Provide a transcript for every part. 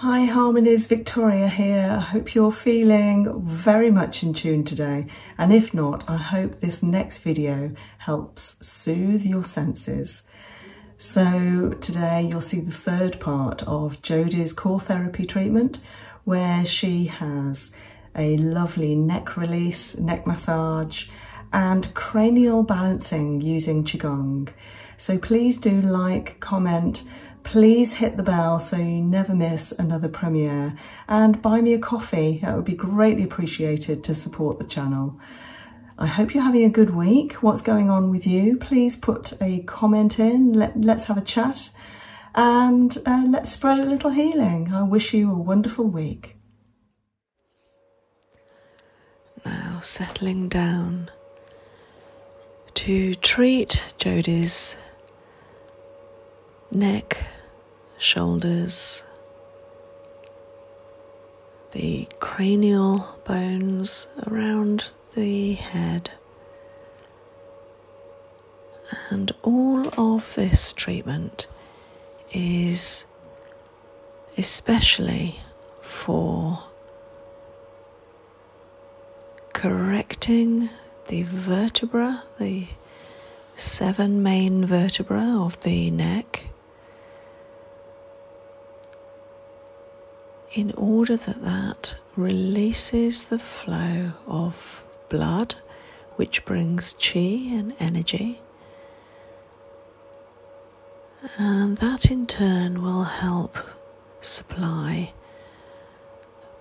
Hi Harmonies, Victoria here. I hope you're feeling very much in tune today. And if not, I hope this next video helps soothe your senses. So today you'll see the third part of Jodie's core therapy treatment, where she has a lovely neck release, neck massage, and cranial balancing using Qigong. So please do like, comment, please hit the bell so you never miss another premiere and buy me a coffee. That would be greatly appreciated to support the channel. I hope you're having a good week. What's going on with you? Please put a comment in. Let, us have a chat and uh, let's spread a little healing. I wish you a wonderful week. Now settling down to treat Jodie's neck, shoulders, the cranial bones around the head. And all of this treatment is especially for correcting the vertebra, the seven main vertebra of the neck, in order that that releases the flow of blood, which brings chi and energy and that in turn will help supply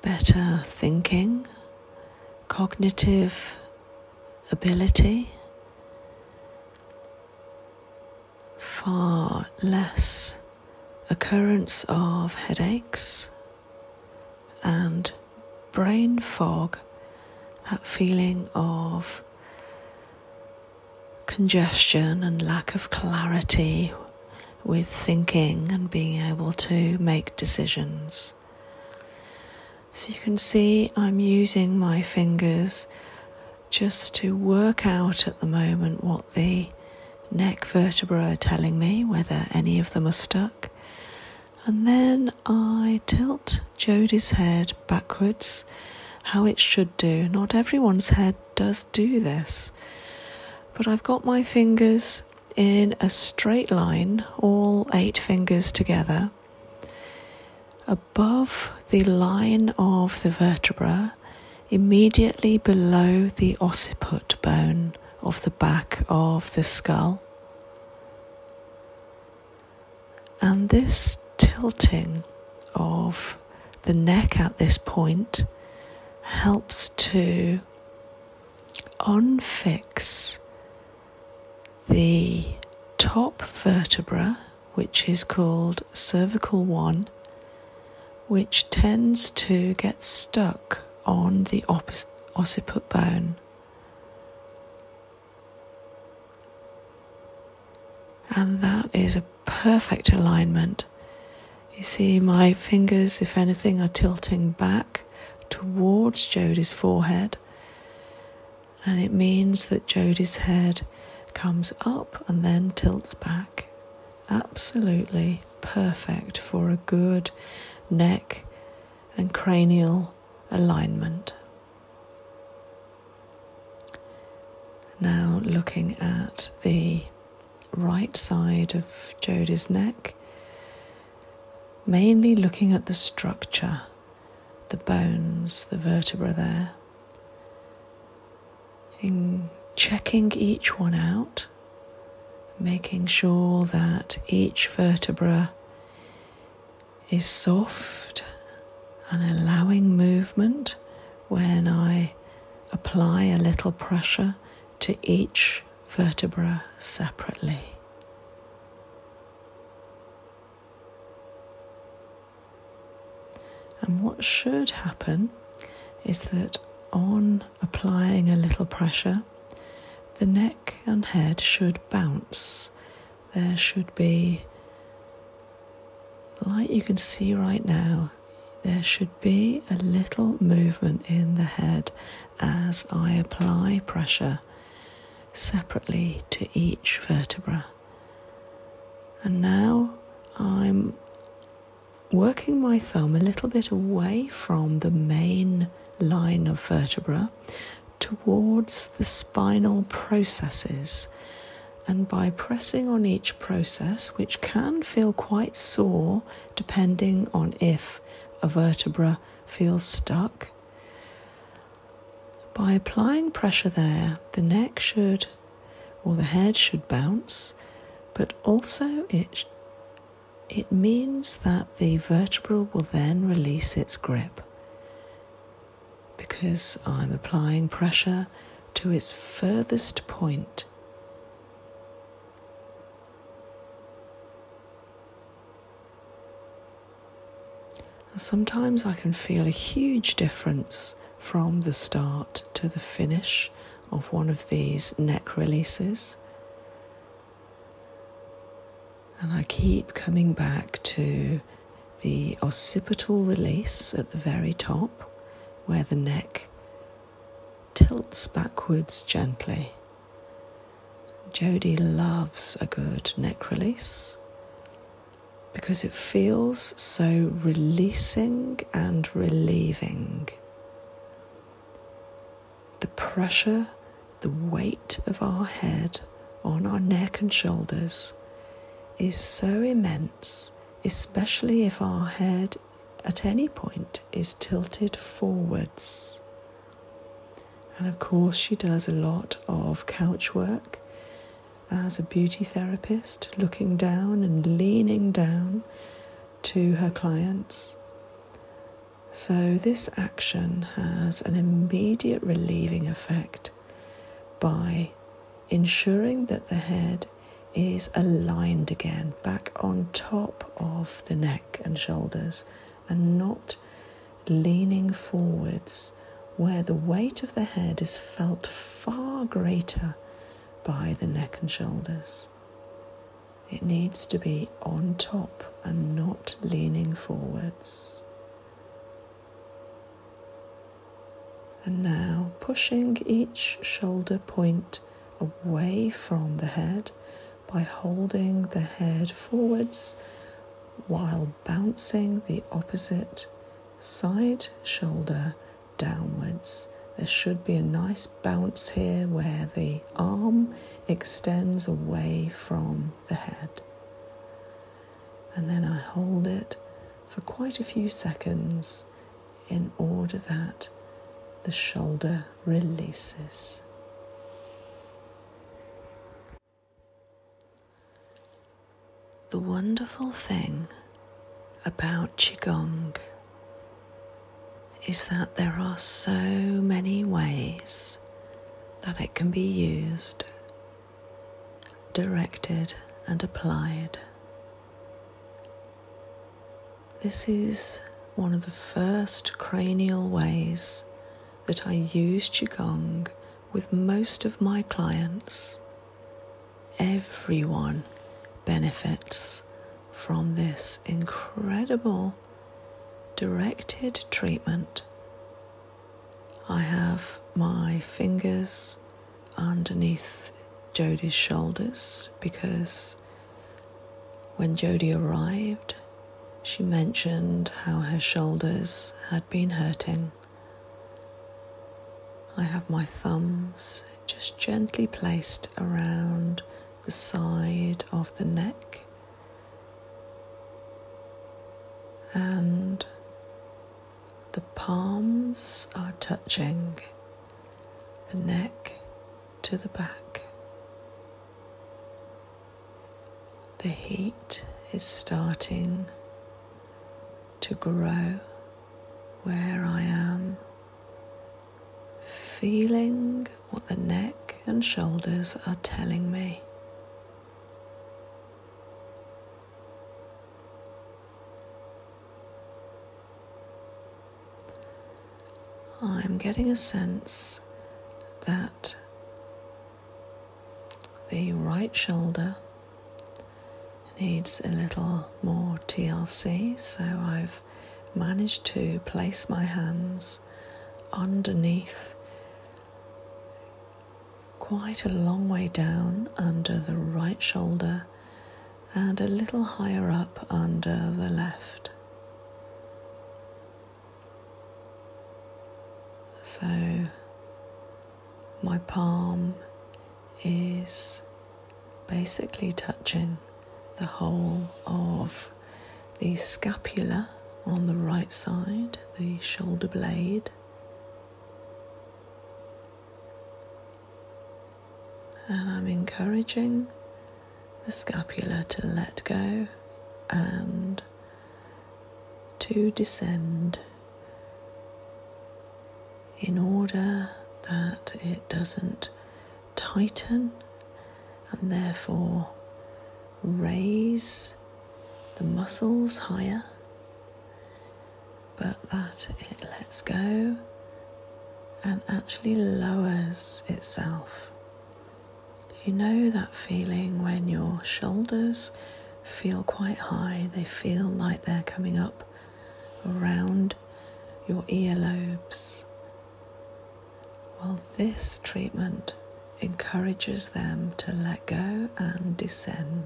better thinking, cognitive ability, far less occurrence of headaches and brain fog, that feeling of congestion and lack of clarity with thinking and being able to make decisions. So you can see I'm using my fingers just to work out at the moment what the neck vertebrae are telling me, whether any of them are stuck. And then I tilt Jodie's head backwards, how it should do. Not everyone's head does do this. But I've got my fingers in a straight line, all eight fingers together, above the line of the vertebra, immediately below the occiput bone of the back of the skull. And this tilting of the neck at this point helps to unfix the top vertebra, which is called cervical 1, which tends to get stuck on the occiput bone. And that is a perfect alignment. You see, my fingers, if anything, are tilting back towards Jody's forehead. And it means that Jody's head comes up and then tilts back. Absolutely perfect for a good neck and cranial alignment. Now, looking at the right side of Jody's neck, mainly looking at the structure, the bones, the vertebra there, in checking each one out, making sure that each vertebra is soft and allowing movement when I apply a little pressure to each vertebra separately. And what should happen is that on applying a little pressure, the neck and head should bounce. There should be, light. you can see right now, there should be a little movement in the head as I apply pressure separately to each vertebra. And now I'm working my thumb a little bit away from the main line of vertebra towards the spinal processes and by pressing on each process, which can feel quite sore depending on if a vertebra feels stuck. By applying pressure there, the neck should or the head should bounce, but also it, it means that the vertebra will then release its grip. Because I'm applying pressure, to its furthest point. sometimes I can feel a huge difference from the start to the finish of one of these neck releases. And I keep coming back to the occipital release at the very top, where the neck tilts backwards gently. Jody loves a good neck release because it feels so releasing and relieving. The pressure, the weight of our head on our neck and shoulders is so immense especially if our head at any point is tilted forwards. And of course, she does a lot of couch work as a beauty therapist, looking down and leaning down to her clients. So, this action has an immediate relieving effect by ensuring that the head is aligned again, back on top of the neck and shoulders, and not leaning forwards where the weight of the head is felt far greater by the neck and shoulders. It needs to be on top and not leaning forwards. And now pushing each shoulder point away from the head by holding the head forwards while bouncing the opposite side shoulder downwards. There should be a nice bounce here where the arm extends away from the head. And then I hold it for quite a few seconds in order that the shoulder releases. The wonderful thing about Qigong is that there are so many ways that it can be used, directed, and applied. This is one of the first cranial ways that I use Qigong with most of my clients. Everyone benefits from this incredible directed treatment. I have my fingers underneath Jody's shoulders because when Jody arrived, she mentioned how her shoulders had been hurting. I have my thumbs just gently placed around the side of the neck and the palms are touching, the neck to the back. The heat is starting to grow where I am, feeling what the neck and shoulders are telling me. I'm getting a sense that the right shoulder needs a little more TLC, so I've managed to place my hands underneath quite a long way down under the right shoulder and a little higher up under the left. So my palm is basically touching the whole of the scapula on the right side, the shoulder blade, and I'm encouraging the scapula to let go and to descend in order that it doesn't tighten and therefore raise the muscles higher but that it lets go and actually lowers itself. You know that feeling when your shoulders feel quite high, they feel like they're coming up around your earlobes. Well, this treatment encourages them to let go and descend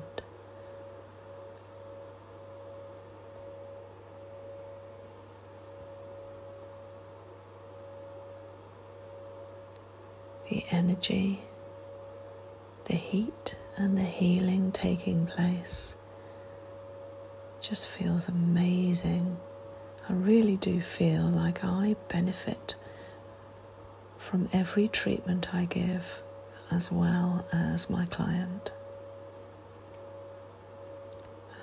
the energy, the heat, and the healing taking place just feels amazing. I really do feel like I benefit from every treatment I give as well as my client.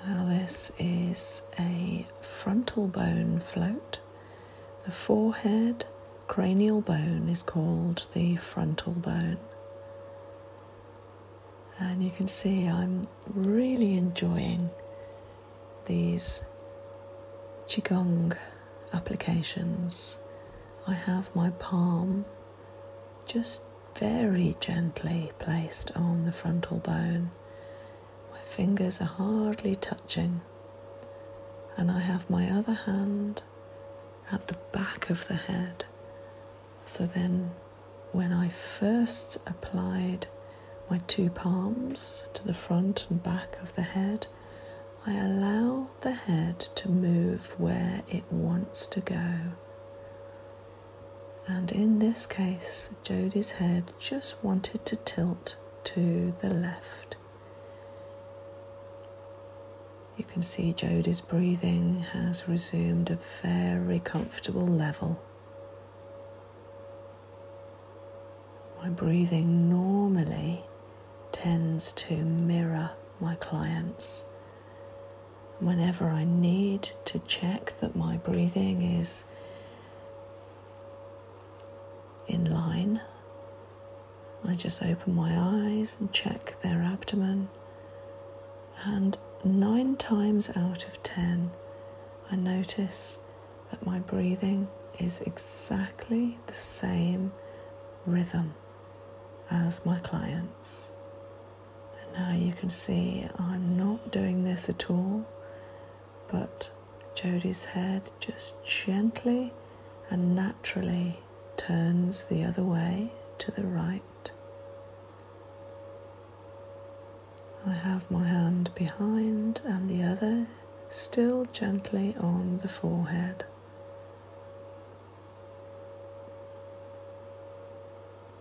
Now, this is a frontal bone float. The forehead cranial bone is called the frontal bone. And you can see I'm really enjoying these Qigong applications. I have my palm just very gently placed on the frontal bone. My fingers are hardly touching, and I have my other hand at the back of the head. So then, when I first applied my two palms to the front and back of the head, I allow the head to move where it wants to go. And in this case, Jodie's head just wanted to tilt to the left. You can see Jodie's breathing has resumed a very comfortable level. My breathing normally tends to mirror my clients. Whenever I need to check that my breathing is in line, I just open my eyes and check their abdomen. And nine times out of ten, I notice that my breathing is exactly the same rhythm as my clients. And now you can see I'm not doing this at all, but Jody's head just gently and naturally turns the other way to the right. I have my hand behind and the other still gently on the forehead.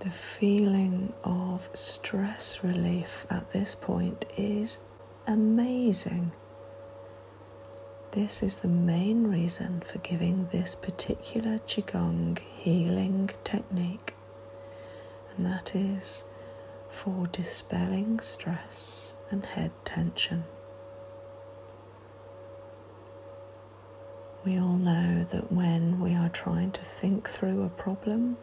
The feeling of stress relief at this point is amazing. This is the main reason for giving this particular Qigong healing technique, and that is for dispelling stress and head tension. We all know that when we are trying to think through a problem,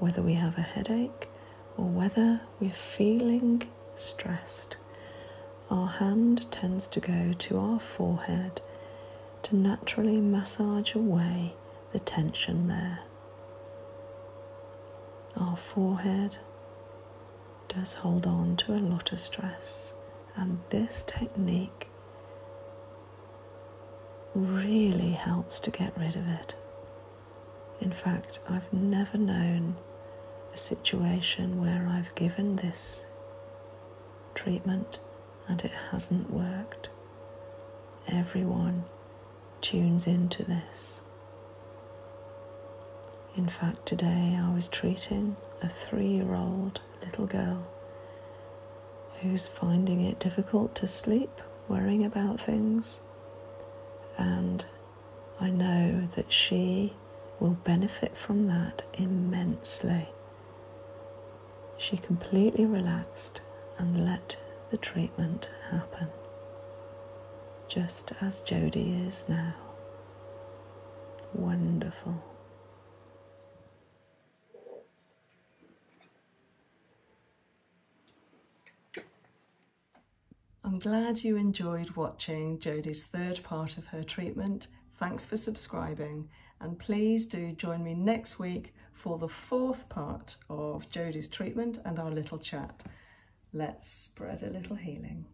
whether we have a headache or whether we're feeling stressed, our hand tends to go to our forehead to naturally massage away the tension there. Our forehead does hold on to a lot of stress, and this technique really helps to get rid of it. In fact, I've never known a situation where I've given this treatment and it hasn't worked. Everyone tunes into this. In fact, today I was treating a three year old little girl who's finding it difficult to sleep, worrying about things. And I know that she will benefit from that immensely. She completely relaxed and let the treatment happen, just as Jodie is now. Wonderful. I'm glad you enjoyed watching Jodie's third part of her treatment. Thanks for subscribing and please do join me next week for the fourth part of Jodie's treatment and our little chat. Let's spread a little healing.